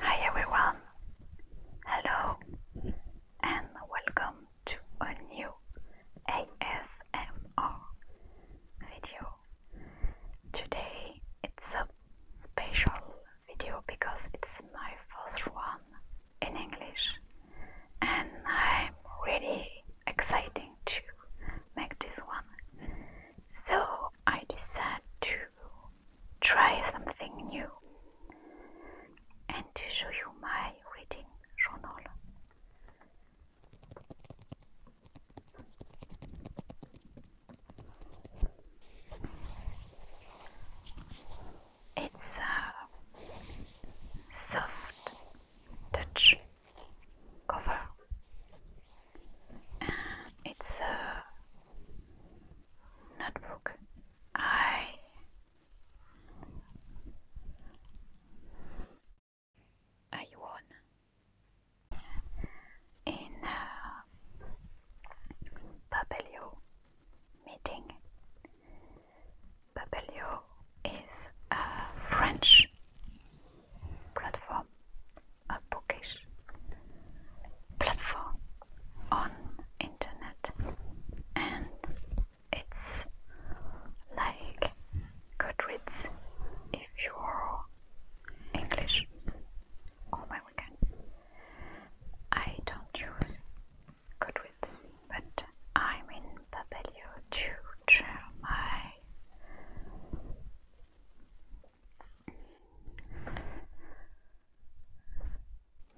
Hi everyone, hello and welcome to a new ASMR video. Today it's a special video because it's my first one in English and I'm really excited to make this one. So I decided to try something new and to show you my reading journal it's a soft touch cover it's a notebook I I won in a Papelio meeting Papelio is a French platform, a bookish platform on internet, and it's like Goodreads if you're English. All oh my weekend, I don't use good wits, but I'm in Papelio tutor my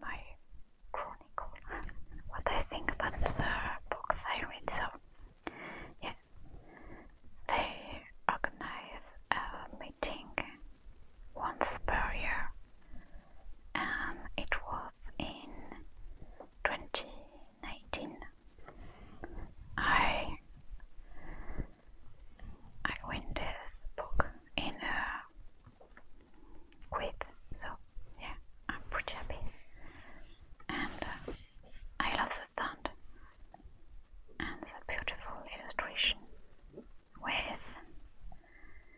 my chronicle what I think about the books I read so yeah they organize a meeting once per year, and it was in 2019. I I win this book in a quiz, so yeah, I'm pretty happy, and uh, I love the stand and the beautiful illustration with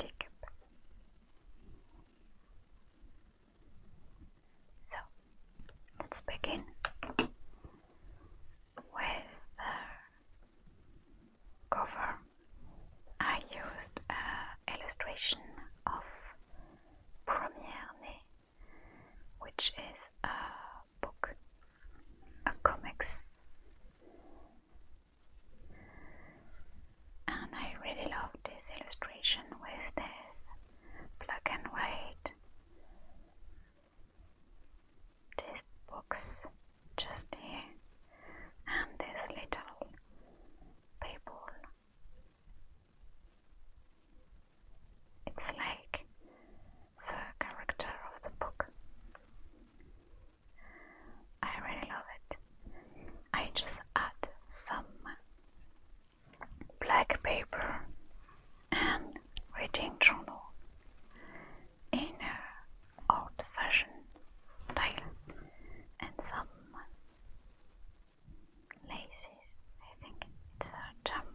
Jacob. So let's begin with the cover. I used an uh, illustration of Première which is a book, a comics and I really love this illustration with this black and white. This box just here, and this little people. It's like the character of the book. I really love it. I just add some black paper and reading journal in a old fashioned style and some laces. I think it's a jam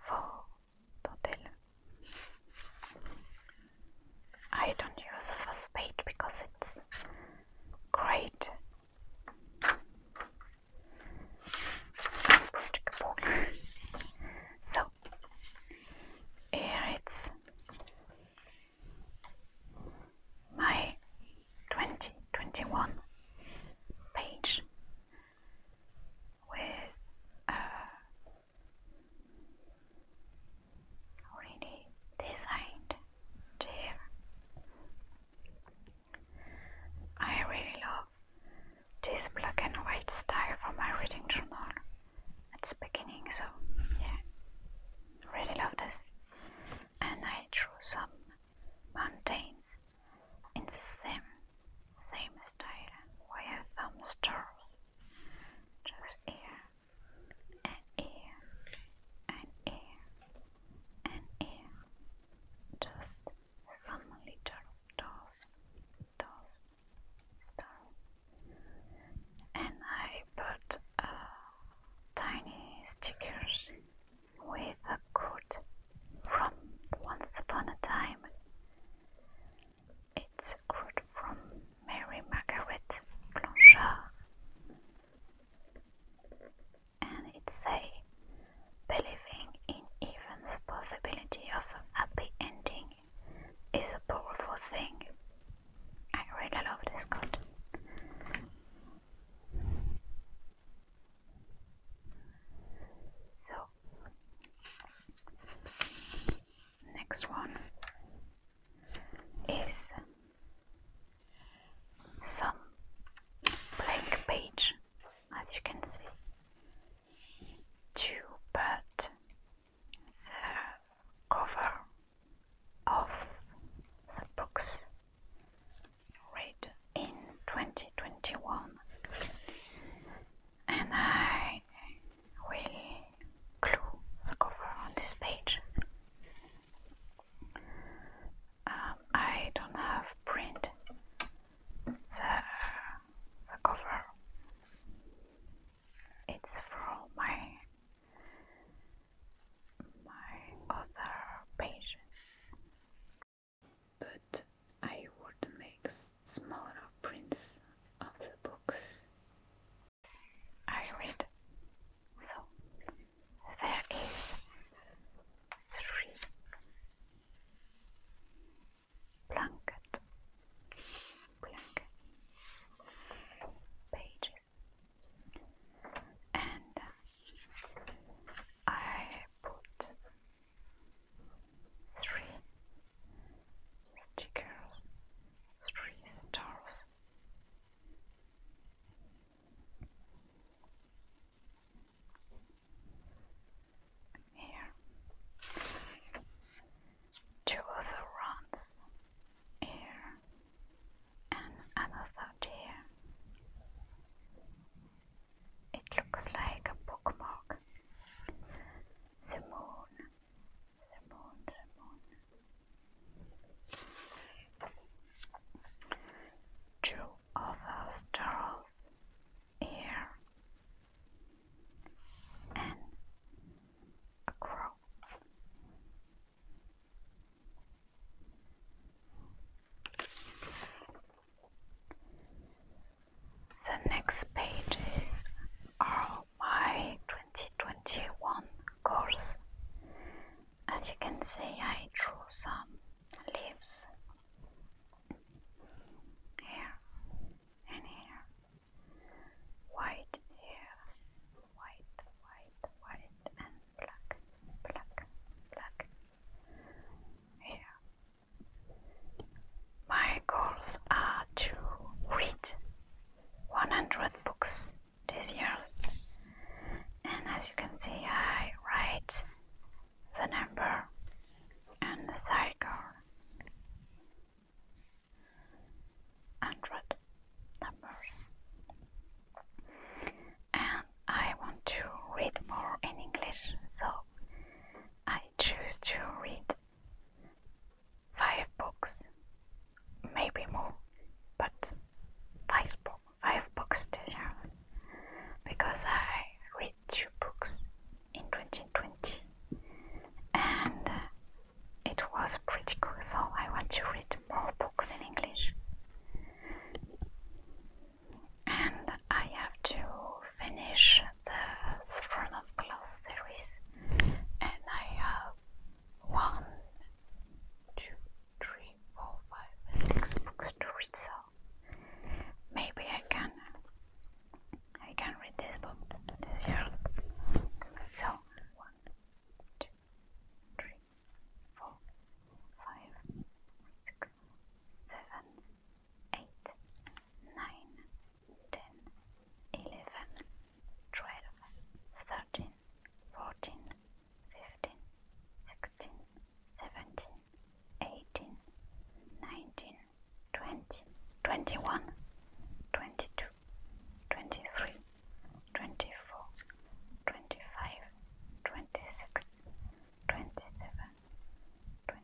for dentelle. I don't use a first page because it's great so here it's my 2021 page with uh, already designed there. I really love this black and white style for my reading journal at the beginning, so yeah, really love this. And I drew some mountains in the same same style wire thumbstars just ear and ear and ear and ear just some little stars stars stars and I put uh, tiny stickers with a quote from once upon a time it's a quote from Mary Margaret Blanchard, and it says, Believing in even the possibility of a happy ending is a powerful thing. I really love this quote. So, Next one is some blank page, as you can see, to put the cover of the books read in 2021 and I will glue the cover on this page. Um, I don't have print the, the cover. It's from my my other page but I would make smaller prints of the books. I read. So there is three blanket blanket pages and I put three stickers, three stars. Here, two other runs here and another here. It looks like a bookmark. The moon, the moon, the moon. Two other stars here, and a crow. The next pages are my 2021 course. As you can see, I drew some leaves here and here. White here, white, white, white, and black, black, black. Here, my goals are to read 100 books this year, and as you can see, I write the number and the cycle 100 numbers. And I want to read more in English, so I I choose to read five books, maybe more, but five, bo five books this because I read two books in 2020 and it was pretty cool, so I want to read more books in English and I have to finish the Throne of Glass series, and I have one, two, three, four, five, six books to read. So maybe I can I can read this book this year. So one, two, three, four, five, six, seven eight, nine, ten, eleven, twelve, thirteen, fourteen, fifteen, sixteen, seventeen, eighteen, nineteen, twenty, twenty-one, twenty-two, twenty-three, twenty-four, twenty-five, twenty-six, twenty-seven, twenty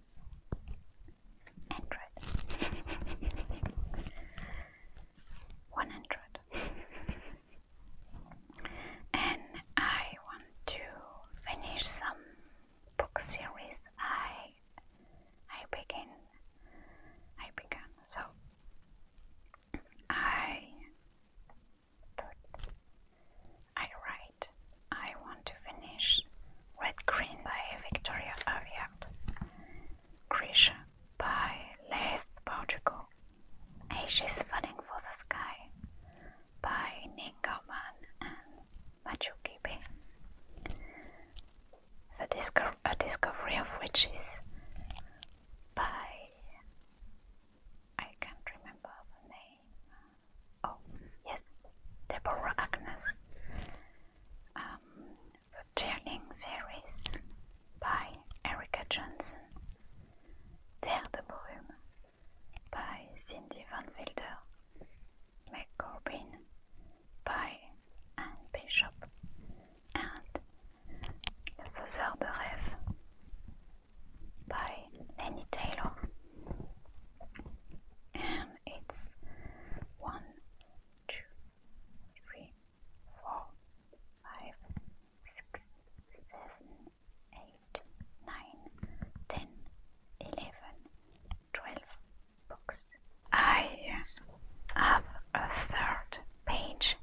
100. One and I want to finish some book series. I I begin. I began. So I I write. I want to finish Red Green by Victoria Aveyard, Grisha by Leith Portugal, Asia's Falling for the Sky by Nick Kaufman and Machu Kibe, the disco- a discovery of witches by I can't remember the name. Oh, yes, Deborah Agnes. Um, the Turning series by Erica Johnson, Terre de Brume by Cindy Van Wilder, Meg by Anne Bishop, and Le Faiseur de Rêve by Lenny Taylor it's one, two, three, four, five, six, seven, eight, nine, ten, eleven, twelve books. I have a third page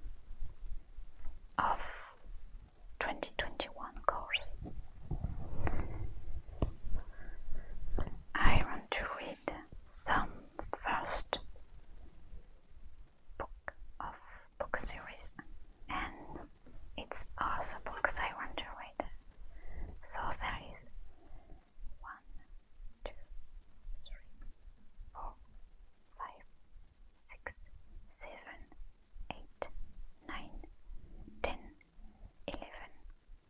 of 2021 course. I want to read some first book of book series and it's also books I want to read. So there is one, two, three, four, five, six, seven, eight, nine, ten, eleven,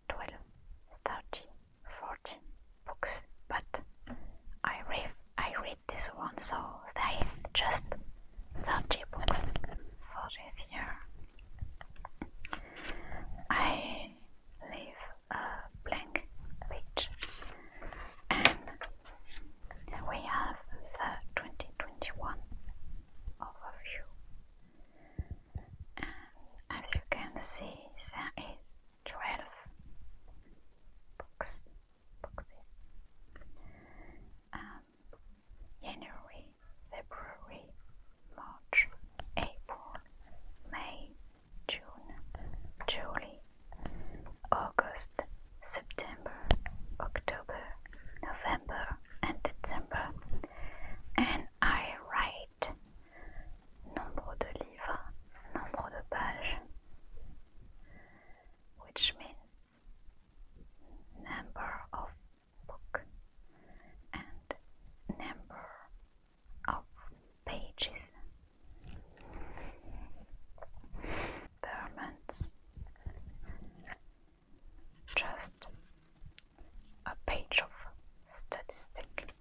12, 13, 14 books, but I read, I read this one, so that is just 30 books for this year. I leave a blank page, and we have the 2021 overview as you can see there is 12 boxes um, January, February, March, April, May, June, July, August, September, October, November, and December, and I write site, nombre de livres, nombre de pages, which means number of book and number of pages. Permanence. Just a page of statistic.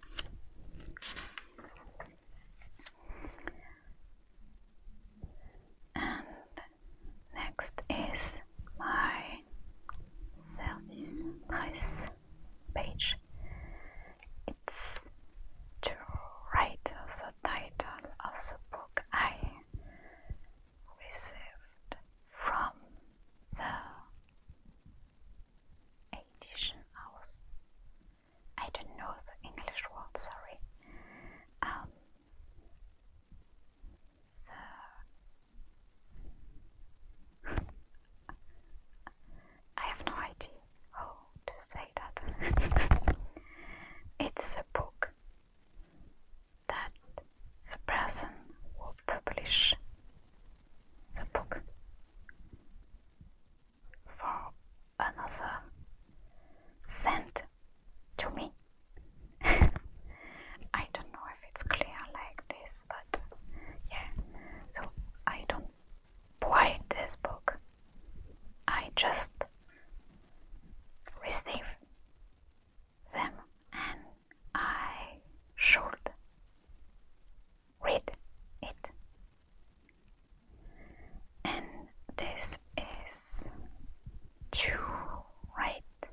And next is my service price page. It's to write the title of the book I received from the Edition House. I don't know the English word, sorry. Um, I have no idea how to say that. it's a book that the person would publish the book for another sent to me. I don't know if it's clear like this, but yeah. So I don't buy this book. I just receive them and I should read it. And this is to write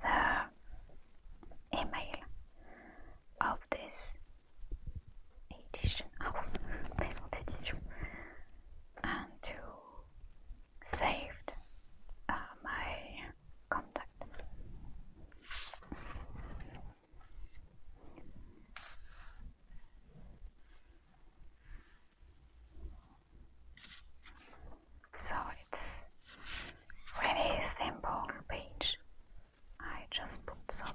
the email of this edition house maison d'édition and to save uh, my contact. So it's really simple page. I just put some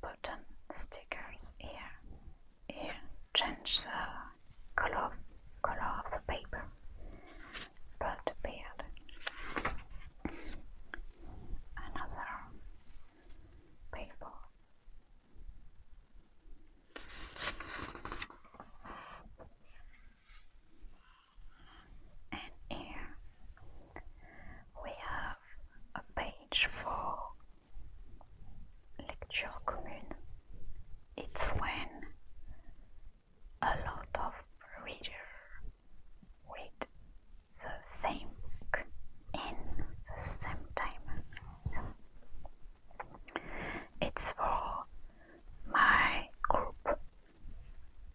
button stickers here. Here, change the color color of the paper but bad. Another people. And here we have a page for lecture commune. It's when a lot of readers read the same book in the same time. it's for my group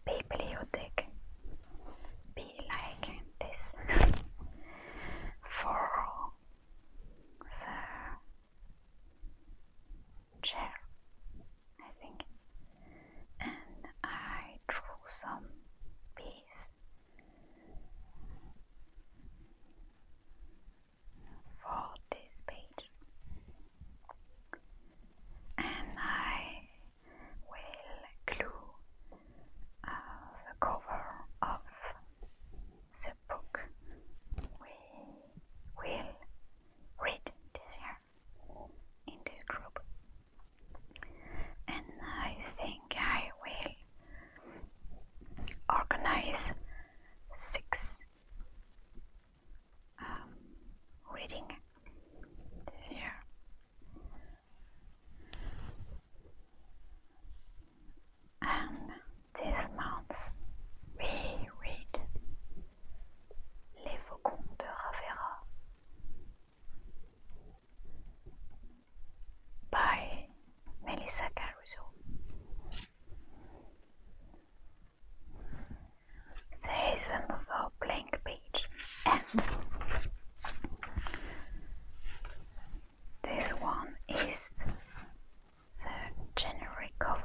bibliothèque. Be like this for the chair, I think, and I drew some bees for this page, and I will glue uh, the cover of the book. We will read this year in this group. And I think I will organize six um, reading this year. And this month we read Les Faucons de Ravera. By Melissa Caruso. There is another blank page, and this one is the generic cover.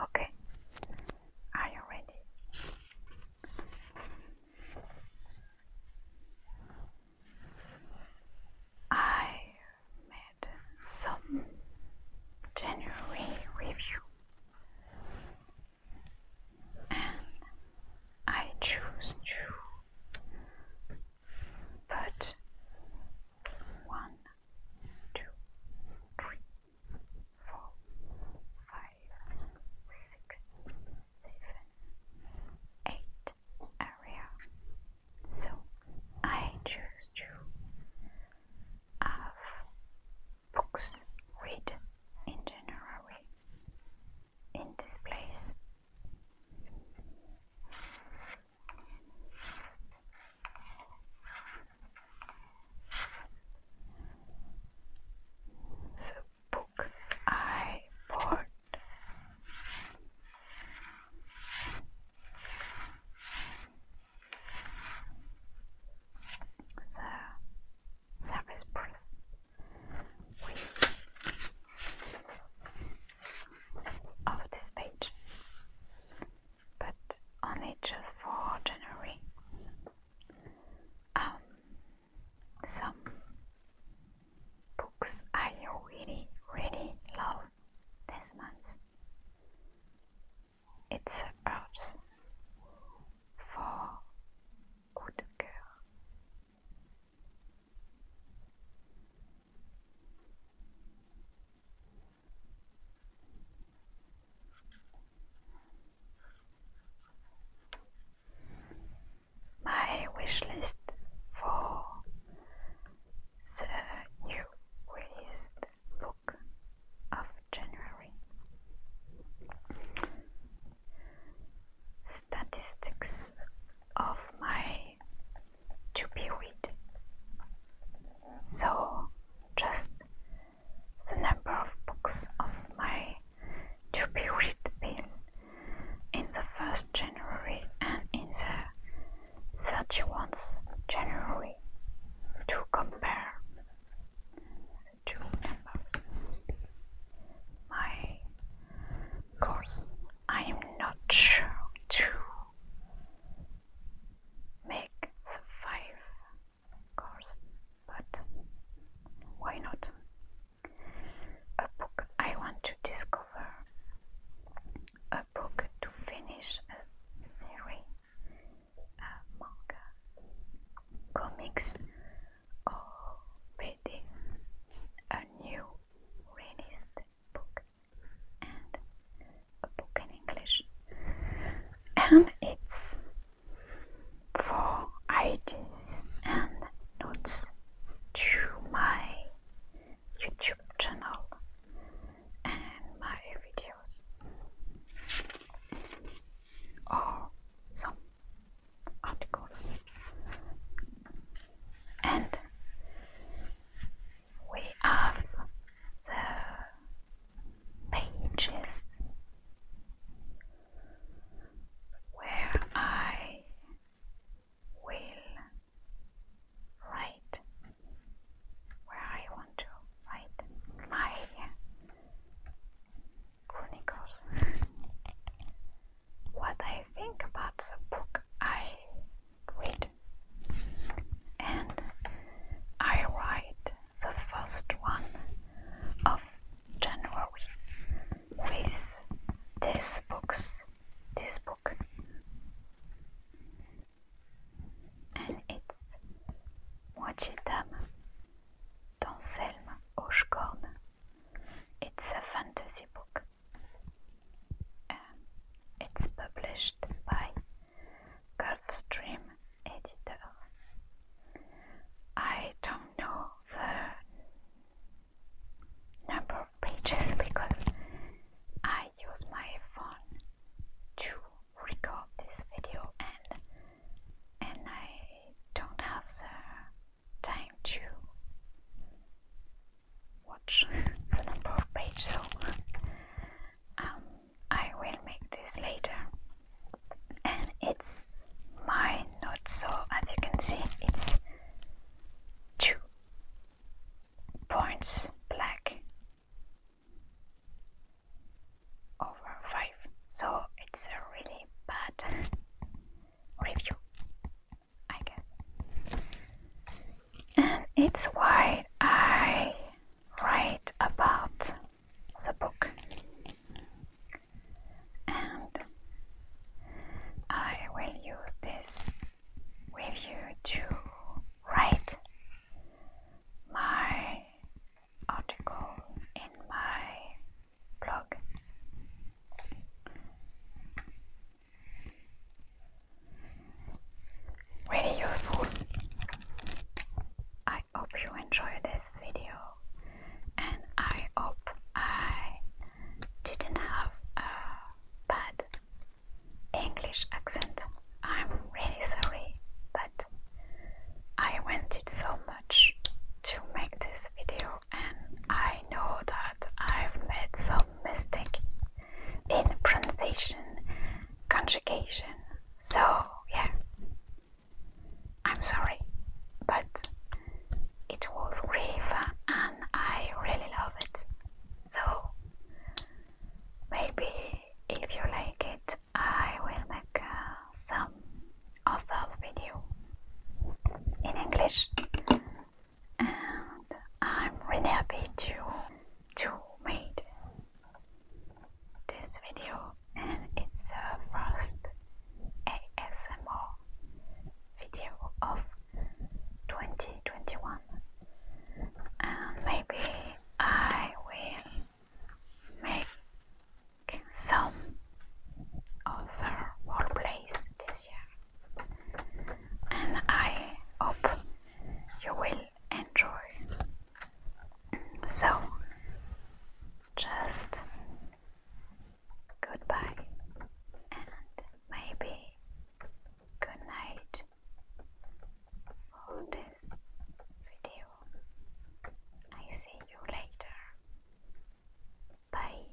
Okay, are you ready? I made some January review and I choose you, but one, two, three, four, five, six, seven, eight area. So I choose to have books read in general in this place. The book I bought. The service press of this page but only just for January. Um, some books I really, really love this month. It's Earth for Coup de my wish list for the new released book of January Statistics of my to be read. So, just the number of books of my to be read bin in the 1st January and in the 31st January to compare the two numbers. My course, I am not sure to make the five course, but why not? A book I want to discover, a book to finish a series, a manga, comics, or reading a new released book and a book in English, and it's for ideas and notes to my YouTube channel and my videos or some article and we have the pages where I will write where I want to write my chronicles. What I think about the book I read. And I write the first one of January with this book, this book and it's Moitié d'âme d'Anselme Hochkorn. It's a fantasy book um, it's published by Gulfstream Editor. I don't know the number of pages because I use my phone to record this video and and I don't have the time to watch the number of pages, so um, I will make this later. And it's my note, so as you can see, it's two points black over five, so it's a really bad review. And it's why I write about the book. And I will use this review to write my article in my blog very useful. I hope you enjoyed this video and I hope I didn't have a bad English accent. I'm really sorry, but I wanted so much to make this video, and I know that I've made so mistake in pronunciation, conjugation. So, yeah, I'm sorry, but it was really fun and I really love it. So, maybe if you like it, I will make uh, some of those video in English and I'm really happy to to made this video and it's the first ASMR video of 2021 and maybe I will make some other roleplays this year and I hope you will enjoy. So, just goodbye and maybe good night for this video. I see you later. Bye.